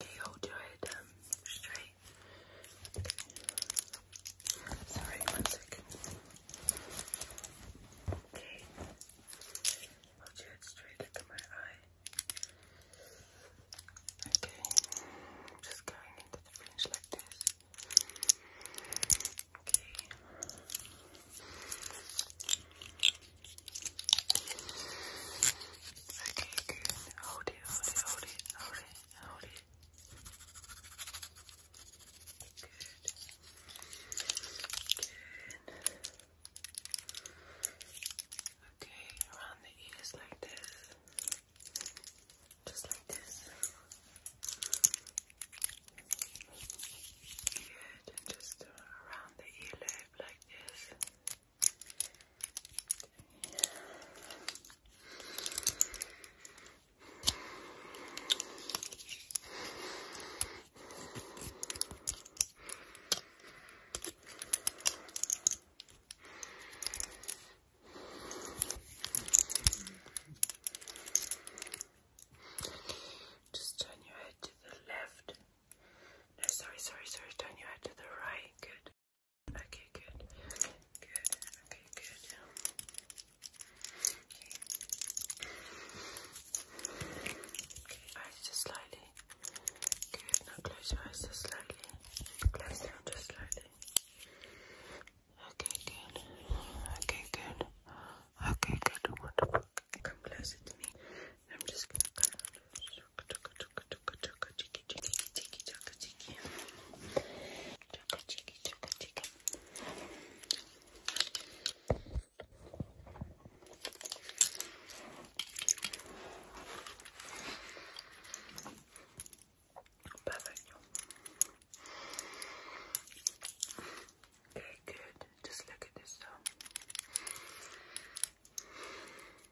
Okay, hold your head um, straight. Sorry, one second. Okay. Hold your head straight, look my eye. Okay. I'm just going into the fringe like this. Okay. Okay, good. Hold it, hold it, hold it, hold it, hold it. Good. Good. Okay, around the ears like this. Just like this. Good. And just around the earlobe like this. Just turn your head to the left. No, sorry, sorry, sorry. Turn your head to the right. Good. Okay, good. Good. Okay, good. Okay. Okay, eyes just slightly. Good. Now close your eyes just slightly. Close down just slightly. Okay, good. Okay, good. Okay, good. Wonderful. Come closer to me. I'm just gonna close your Perfect. Okay, good. Just look at this.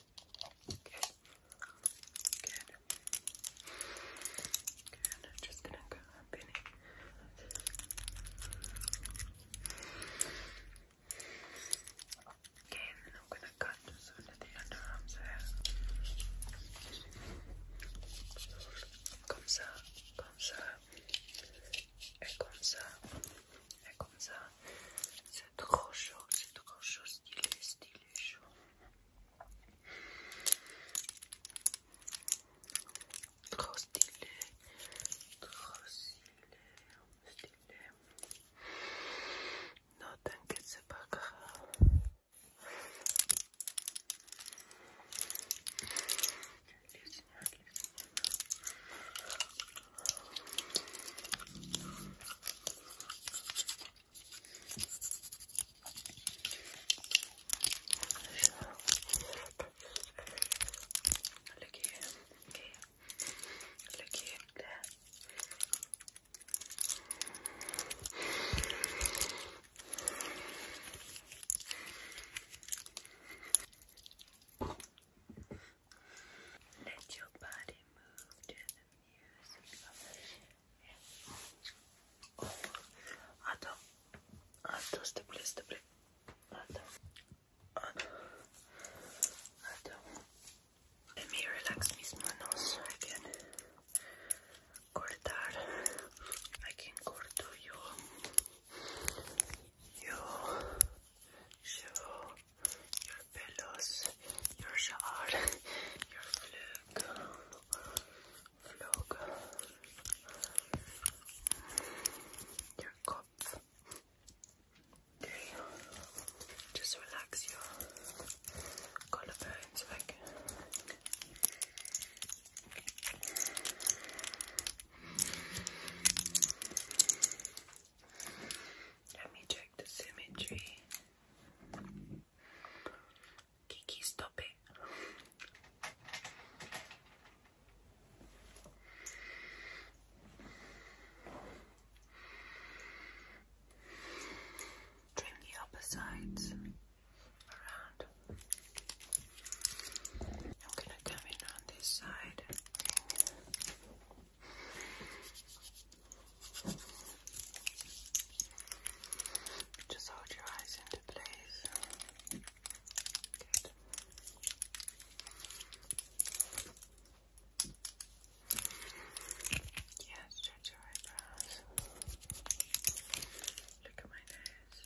Good. Good. Good. I'm just gonna go up in it. Okay, I'm gonna cut just under the underarms there. Comme ça, comme ça, et comme ça. Et ah, comme ça, c'est trop chaud, c'est trop chaud, stylé, stylé, chaud. Trop stylé, trop stylé, stylé. Non, t'inquiète, c'est pas grave. Les Look here, okay. Look here, there. Let your body move to the music of the Attends, attends, s'il te plaît, s'il te plaît. Attends, attends, attends. Let me relax mis manos so I can cortar. I can corto your, your shoe, your pillows, your shower, your flag, flag, your cup. just relax your collarbones like. Okay. Let me check the symmetry. Kiki, stop it. Trim the upper sides around. I'm gonna come in on this side. Just hold your eyes into place. Good. Yeah, stretch your eyebrows. Look at my nose.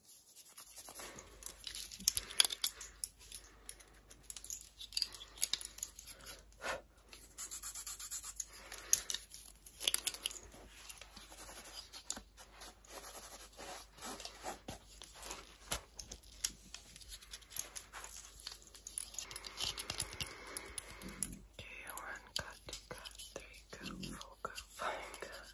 Okay, one cut, cut, three cut, four cut, five cut.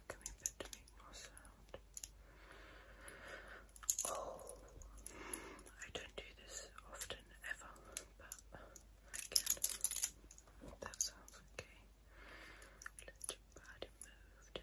click a bit more sound. Oh, I don't do this often ever, but I can. That sounds okay. Let your body move.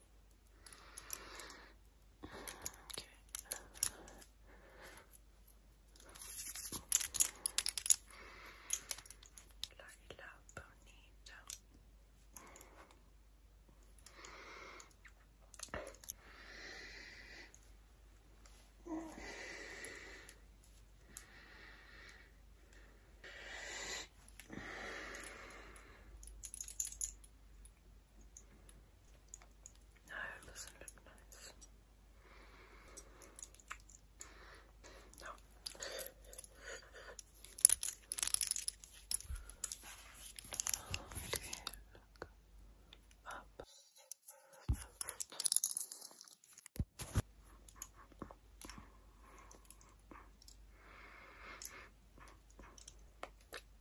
Okay. Laila Bonita. No, it doesn't look nice. No. look up.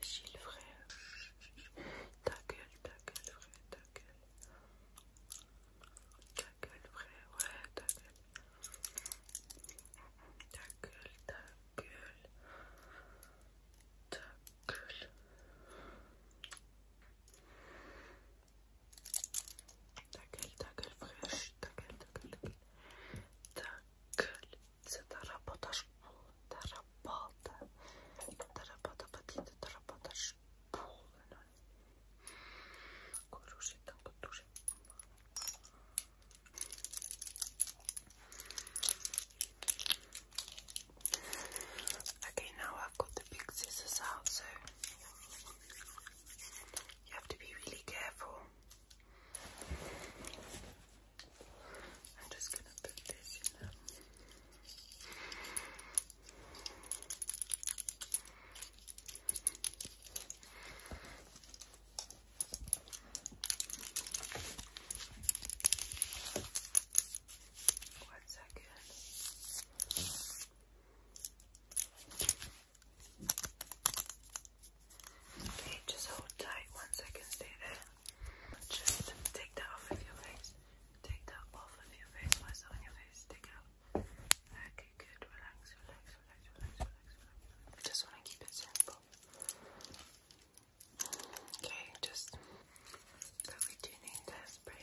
c'est vrai Ta gueule, ta gueule, ta gueule. Ta gueule, ouais, ta gueule. Ta gueule, ta gueule. Ta gueule. Ta gueule, ta gueule, ta c'est un terrapota, Okay, now I've got the big scissors out, so you have to be really careful. I'm just gonna put this in them. One second. Okay, just hold tight. One second, stay there. Just take that off of your face. Take that off of your face. What's on your face? Take out. off. Okay, good. Relax, relax, relax, relax, relax, relax. just want to keep it simple. Okay, just. we do need that spray.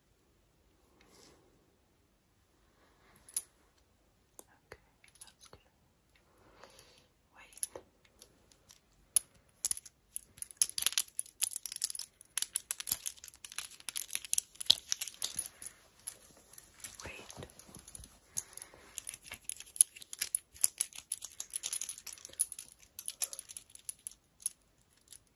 Okay, that's good. Wait. Wait.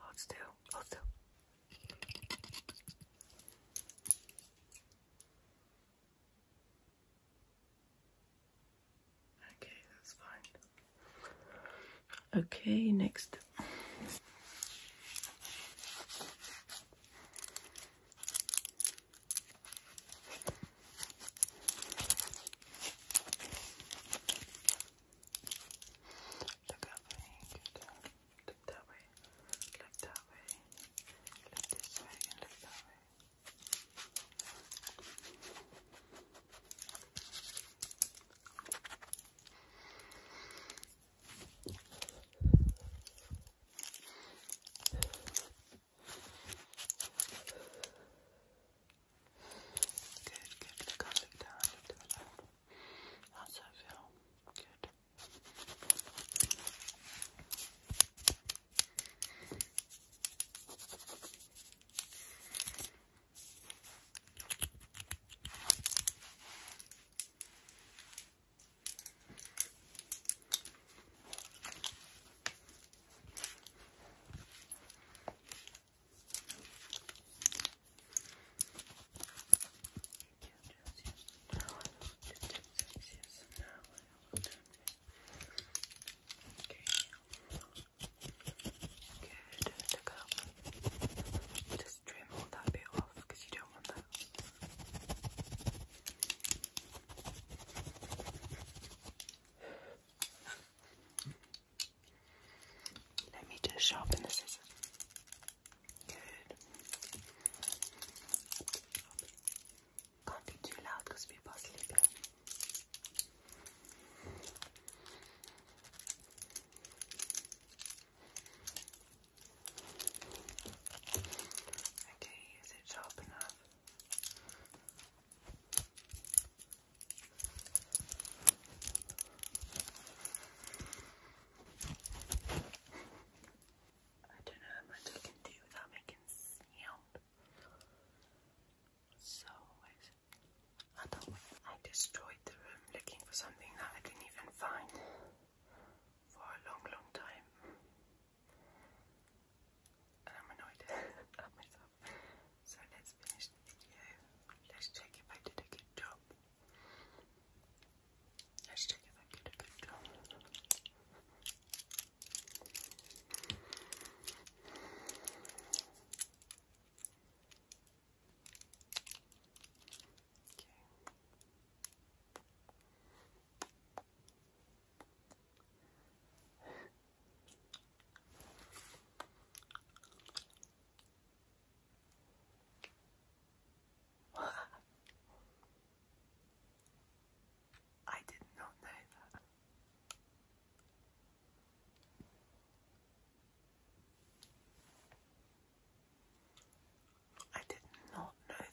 Let's Hold still. Hold still. Okay, that's fine. Okay, next. Look that way, look that way, look that way, look this way, and look that way. Good, good, look up, down, How's that feel? Good to go. Just trim all that bit off because you don't want that. Let me just sharpen the scissors. Good. Can't be too loud because people are sleeping. Okay, is it sharp enough? I don't know how I can do without making sound. So I don't I destroyed the room looking for something that I can even find for a long long time. And I'm annoyed at myself. So let's finish the video. Let's check if I did a good job. Let's check if I did a good job. Okay. I did not know that. I did not know that.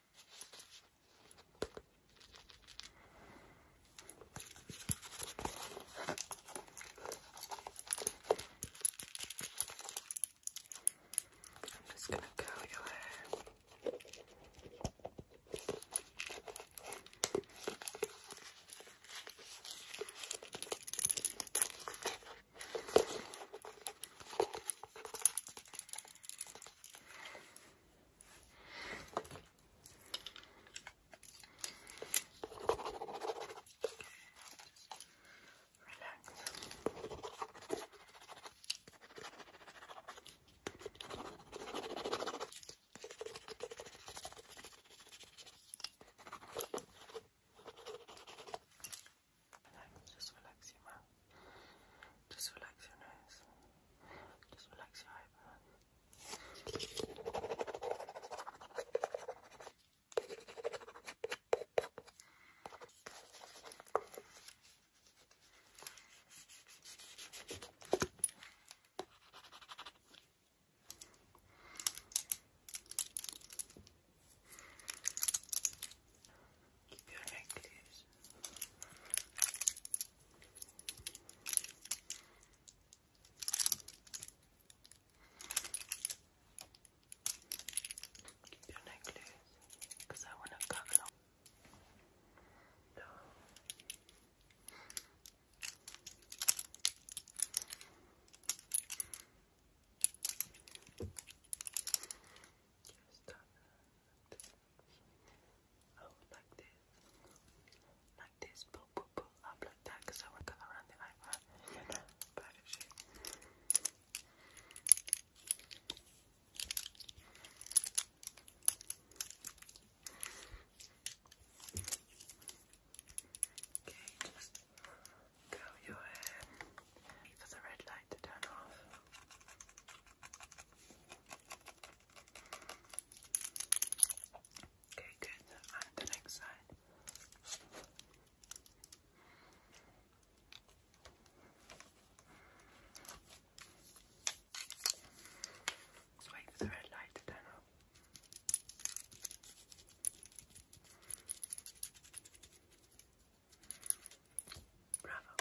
I'm just going to curl your hair. Relax, just relax your mouth. Just relax your nose. Just relax your eyebrows. Keep your neck loose. Your necklace, because I want to cut along. No. Oh, like this. Like this. Pull, pull, pull up like that because I want to go around the eyebrow. You Okay, just your hair because the red light light to turn off. Okay, good. On the next side. let the light to turn off. Bravo.